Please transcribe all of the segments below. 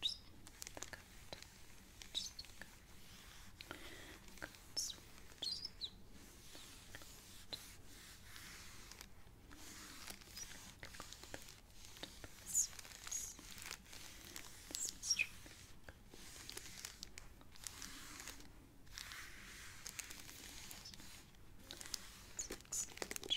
Just look out. Just look out. Look out. Just look out. This is this is true. Let's extend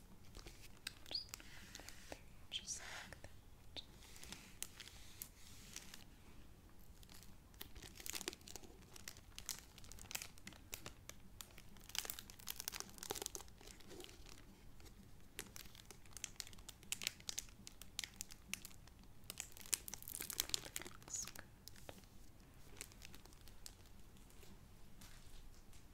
Just, there, just like that. Looks good.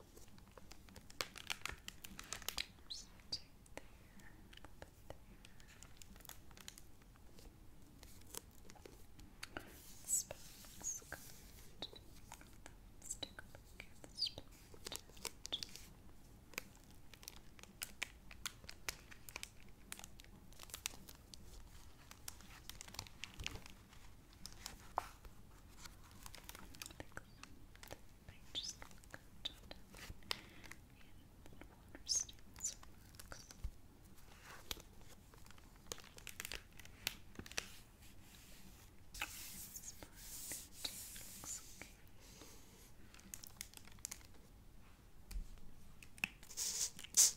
There's two there, there. Spells card. Let's take a look at the spell card. I think I just look at and water stains or marks. looks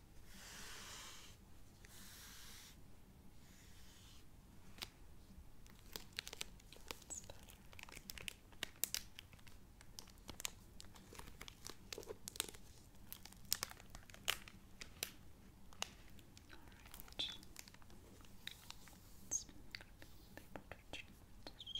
That's better. Alright. Let's make people to change.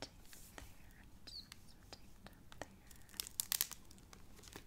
tape there, just some tape down there. Just there.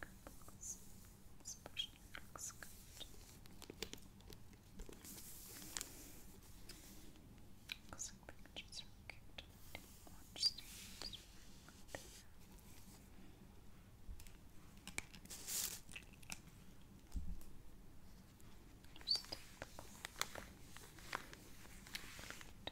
crinkles. This brushing looks good. Looks like pictures are cute. Watch things. Just take the cloth. Plate.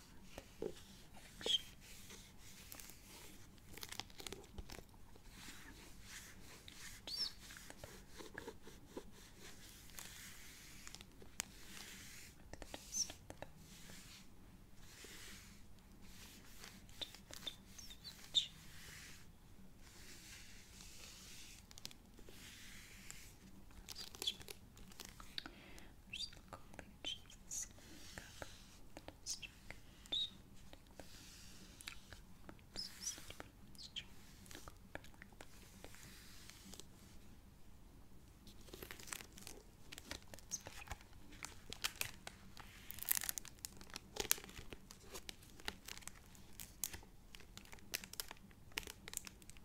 supplement collection. Just the back. The dust on the back. Just, just, just. Switch back. Where's the college? This cup. Let's check it. Let's check That's better. Okay,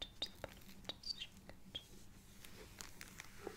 Just the bottom, just check it. Okay.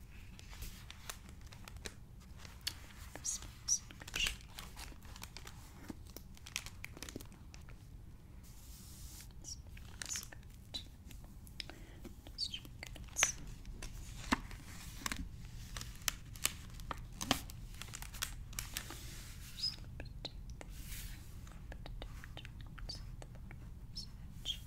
This one's in good shape. This one's good. Let's check it. Just a little bit of tape there, a little bit of tape towards the bottom of this edge.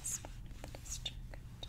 this one with this jacket. This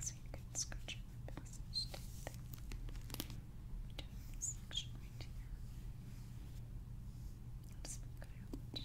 So you can scratch your lip passage down there. We're doing section right here. I'll just put it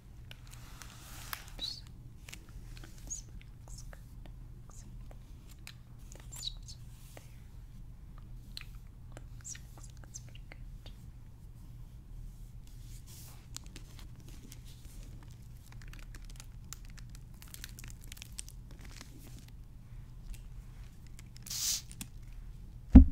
This looks good. Looks That's just right there. Looks, looks, looks pretty good. Okay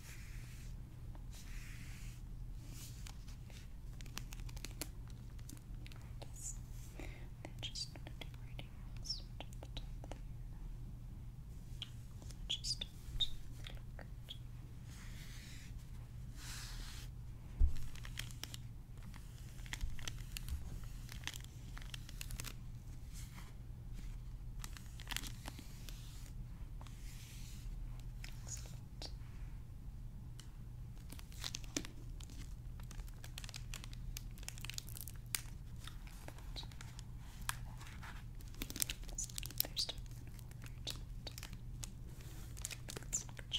Yes. They're just gonna do reading ones at the top there. I just want to look at Okay. Excellent. There's still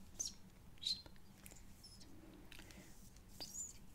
Let's just see.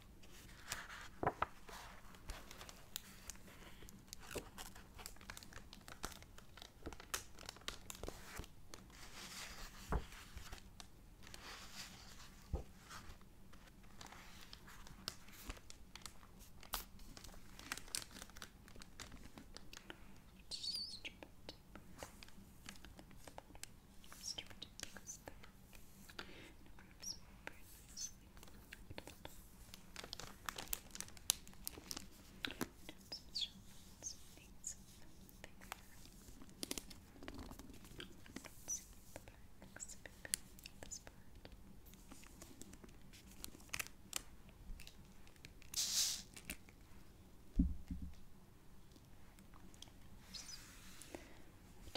Just a bit deeper. Just a bit deeper is the room. It improves very nicely. And some shelves, things there. Let's see the back looks a bit better this part. Which I think